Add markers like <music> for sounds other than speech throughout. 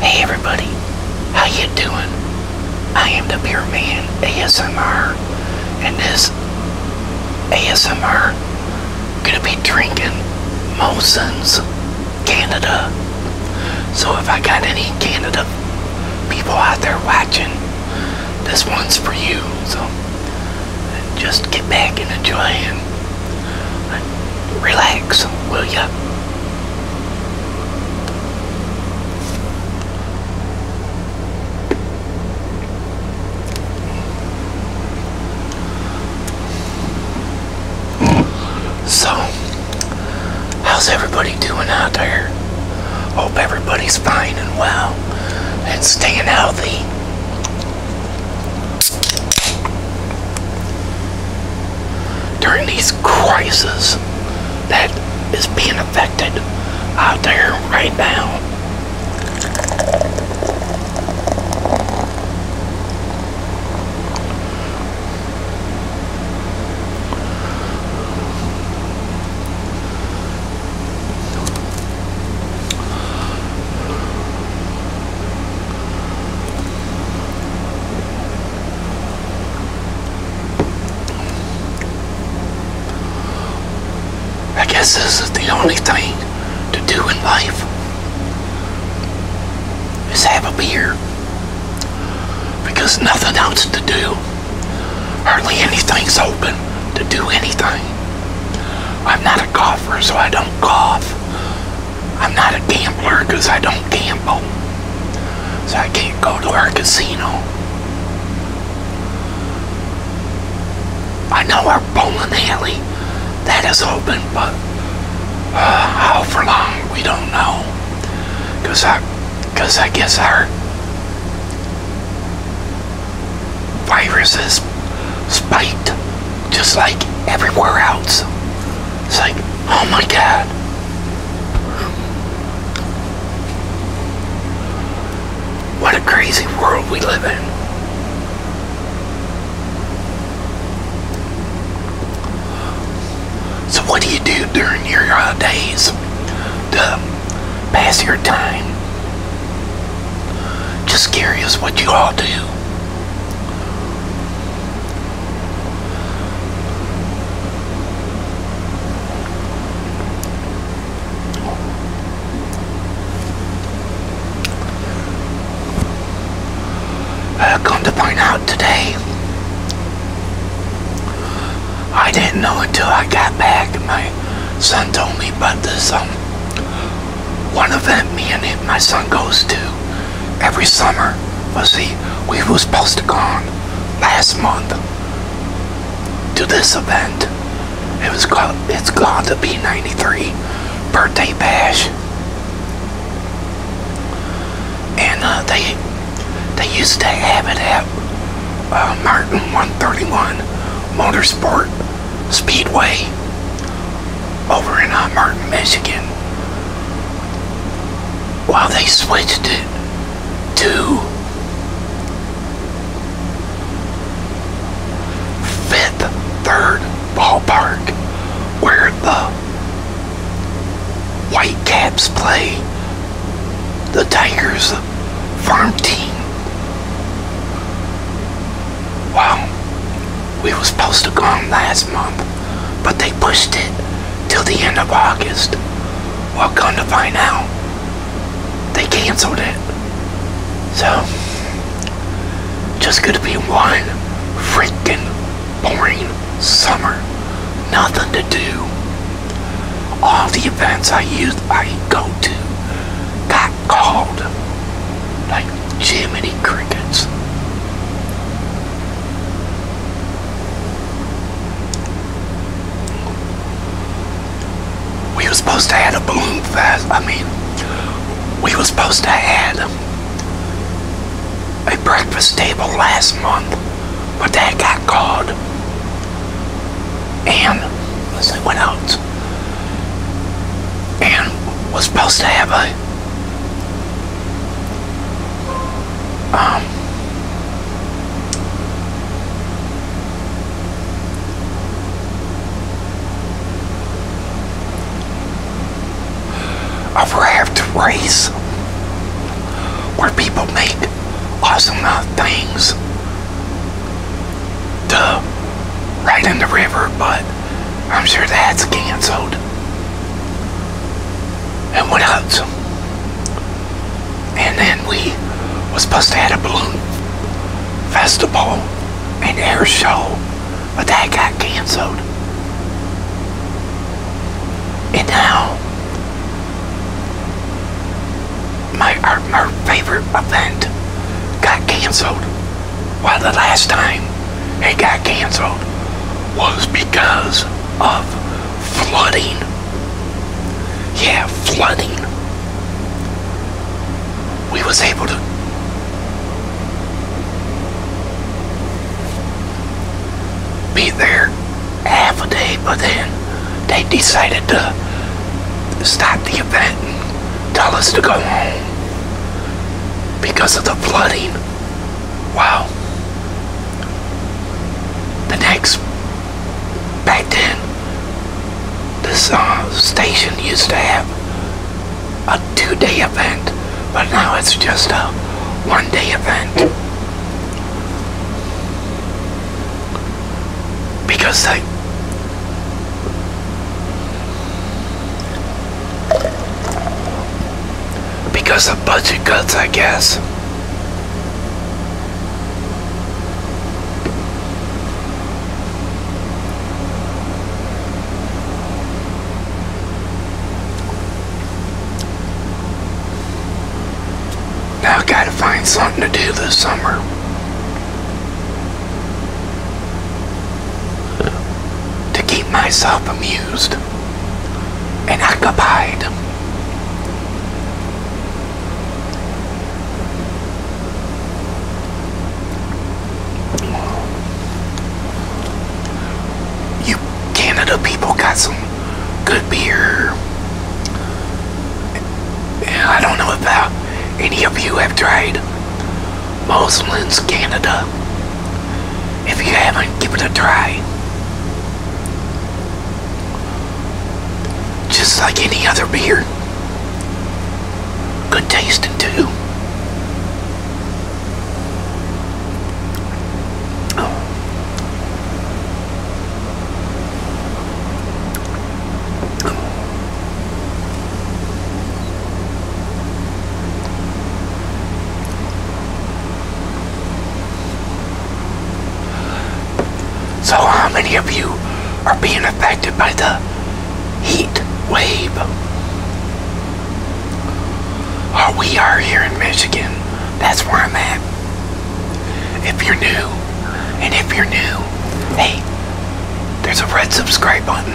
Hey everybody, how you doing? I am the beer Man ASMR, and this ASMR gonna be drinking Molson's Canada. So if I got any Canada people out there watching, this one's for you. So just get back and enjoy it. Relax, will ya? So, how's everybody doing out there? Hope everybody's fine and well and staying healthy during these crises that is being affected out there right now. I guess this is the only thing to do in life is have a beer because nothing else to do hardly anything's open to do anything I'm not a golfer so I don't cough. I'm not a gambler because I don't gamble. So I can't go to our casino. I know our bowling alley that is open, but uh, how for long we don't know. Cause I, cause I guess our virus is spiked just like everywhere else. It's like, oh my God. What a crazy world we live in. So what do you do during your days to pass your time? Just curious what you all do. Uh, come to point out today, I didn't know until I got back. My son told me about this um, one event me and him, my son goes to every summer. Let's see, we was supposed to go on last month to this event. It was called, it's called the B93 Birthday Bash. And uh, they they used to have it at uh, Martin 131 Motorsport Speedway over in uh, Michigan. While they switched it to Fifth Third Ballpark, where the Whitecaps play the Tigers farm team. Wow. We were supposed to go last month, but they pushed it till the end of August. Well, come to find out, they canceled it. So, just gonna be one freaking boring summer. Nothing to do. All the events I used, I go to, got got called like Jiminy Crickets. We were supposed to have a balloon fest. I mean, we were supposed to have a breakfast table last month, but that got called. And let's see what And was supposed to have a um, raft race where people make awesome uh, things to ride in the river but I'm sure that's canceled. And what else? And then we was supposed to have a balloon festival and air show, but that got canceled. And now my our, our favorite event got canceled why the last time it got canceled was because of flooding. Yeah, flooding. We was able to be there half a day, but then they decided to stop the event tell us to go home because of the flooding. Wow. The next, back then, this uh, station used to have a two-day event, but now it's just a one-day event. Because they because of budget cuts, I guess. Now gotta find something to do this summer to keep myself amused and occupied. You Canada people got some good beer. I don't know about any of you have tried Moslins Canada. If you haven't, give it a try. Just like any other beer. Good tasting too. So how many of you are being affected by the heat wave? Oh, we are here in Michigan. That's where I'm at. If you're new, and if you're new, Hey, there's a red subscribe button.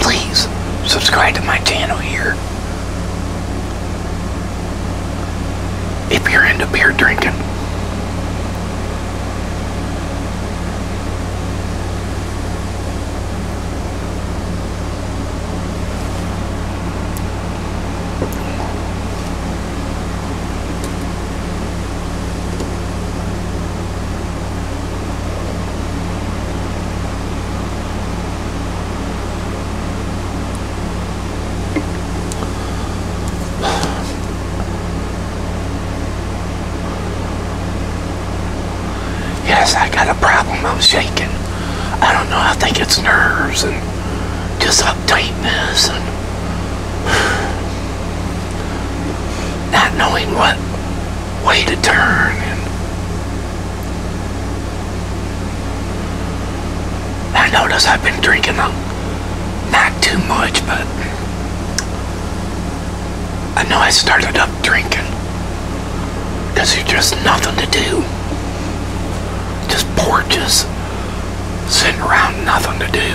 Please subscribe to my channel here. If you're into beer drinking. Yes, I got a problem. I'm shaking. I don't know. I think it's nerves and just uptightness and <sighs> not knowing what way to turn and I notice I've been drinking a, not too much but I know I started up drinking because there's just nothing to do just porches sitting around nothing to do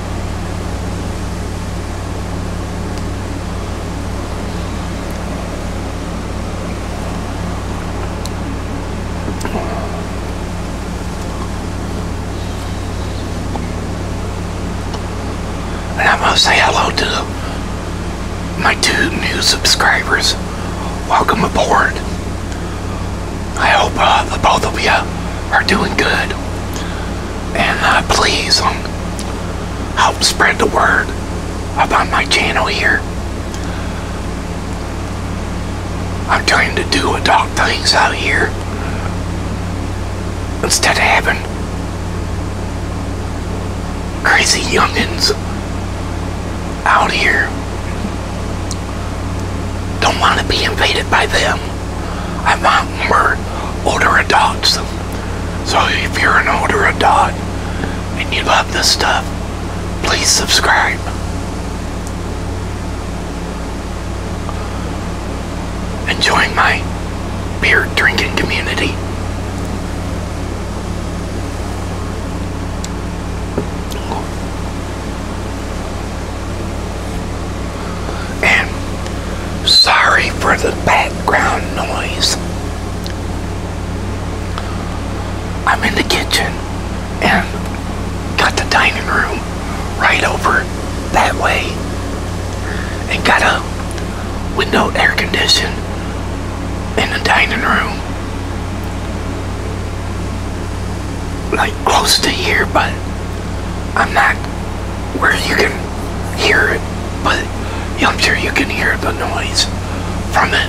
And I'm going to say hello to my two new subscribers. Welcome aboard. I hope uh, the both of you are doing good and uh, please um, help spread the word about my channel here. I'm trying to do adult things out here instead of having crazy youngins out here. Don't want to be invaded by them. I want more older adults. So if you're an older adult and you love this stuff, please subscribe. and join my beer drinking community. And sorry for the background noise. I'm in the kitchen and got the dining room right over that way and got a window air condition in the dining room like close to here but I'm not where you can hear it, but I'm sure you can hear the noise from it.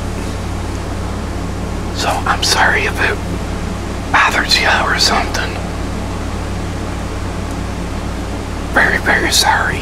So I'm sorry if it bothers you or something. Very, very sorry.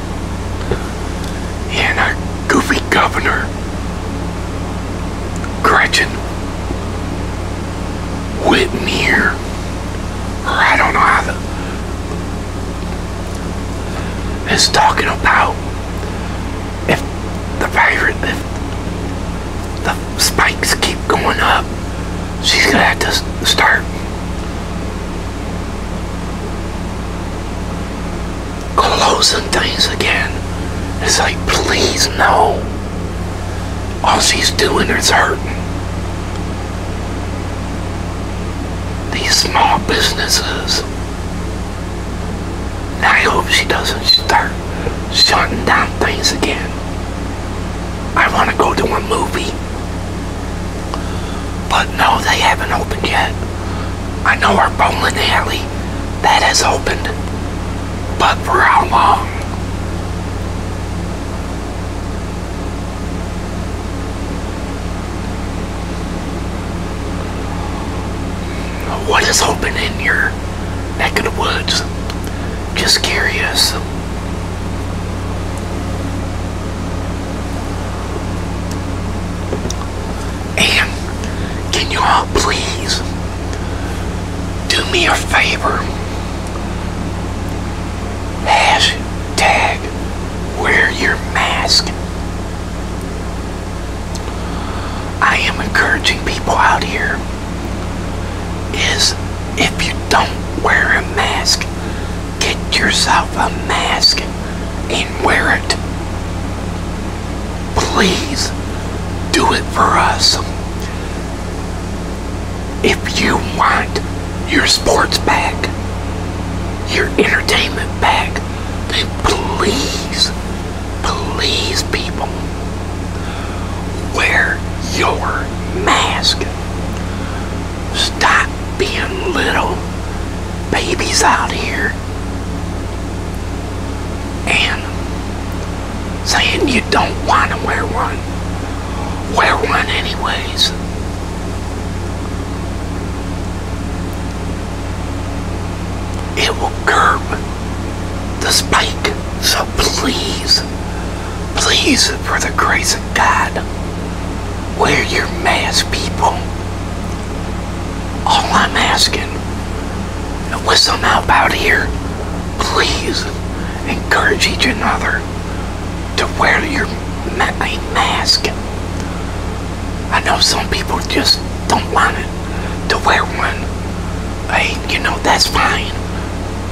and our goofy governor, Gretchen Whitmere, or I don't know how the, is talking about if the virus, if the spikes keep going up, she's gonna have to start closing things again. It's like, please, no. All she's doing is hurting. These small businesses. I hope she doesn't start shutting down things again. I want to go to a movie. But no, they haven't opened yet. I know our bowling alley, that has opened. But for how long? What is open in your neck of the woods? Just curious can you all please do me a favor? Hashtag wear your mask. I am encouraging people out here is if you don't wear a mask, get yourself a mask and wear it. Please do it for us. If you want your sports back, your entertainment back, then please, please, people, wear your mask. Stop being little Baby's out here and saying you don't want to wear one. Wear one anyways. It will curb the spike. So please, please, for the grace of God, Wear your mask, people. All I'm asking, with some help out here, please encourage each another to wear your mask. I know some people just don't want it to wear one. Hey, you know, that's fine.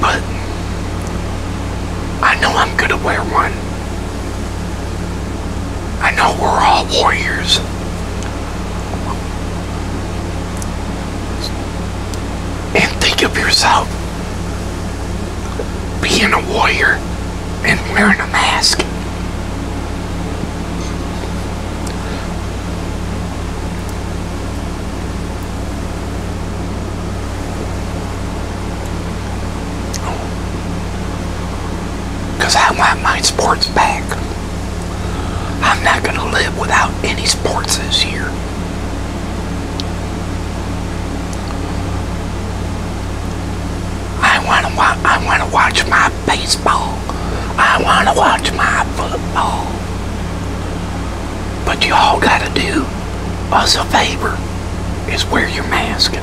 But I know I'm going to wear one. I know we're all warriors. And think of yourself being a warrior and wearing a mask. Because I want my sports back. I'm not going to live without any sports this year. I want to wa I want to watch my baseball. I want to watch my football. But you all got to do us a favor is wear your mask.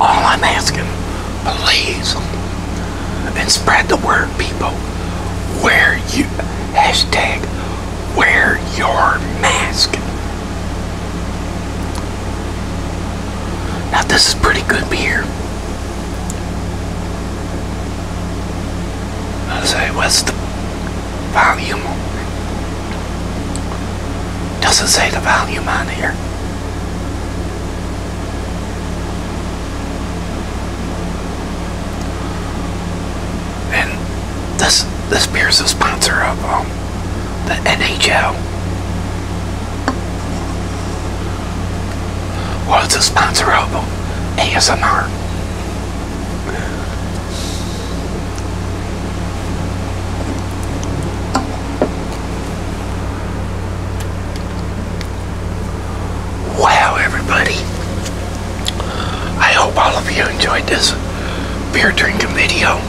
All I'm asking please and spread the word people wear you hashtag wear your mask now this is pretty good beer I say what's the volume doesn't say the volume on here and this this beer's um, a sponsor of the NHL. What's a sponsor of um, ASMR. Wow, everybody. I hope all of you enjoyed this beer drinking video.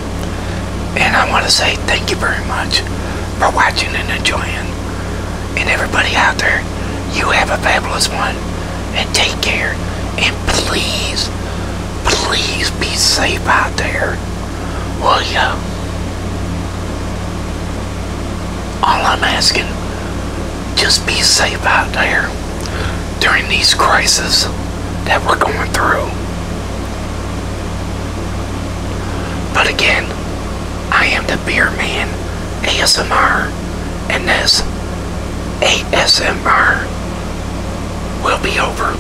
And I want to say thank you very much for watching and enjoying. And everybody out there, you have a fabulous one. And take care. And please, please be safe out there. Well, you? All I'm asking, just be safe out there during these crises that we're going through. But again, I am the Beer Man ASMR, and this ASMR will be over.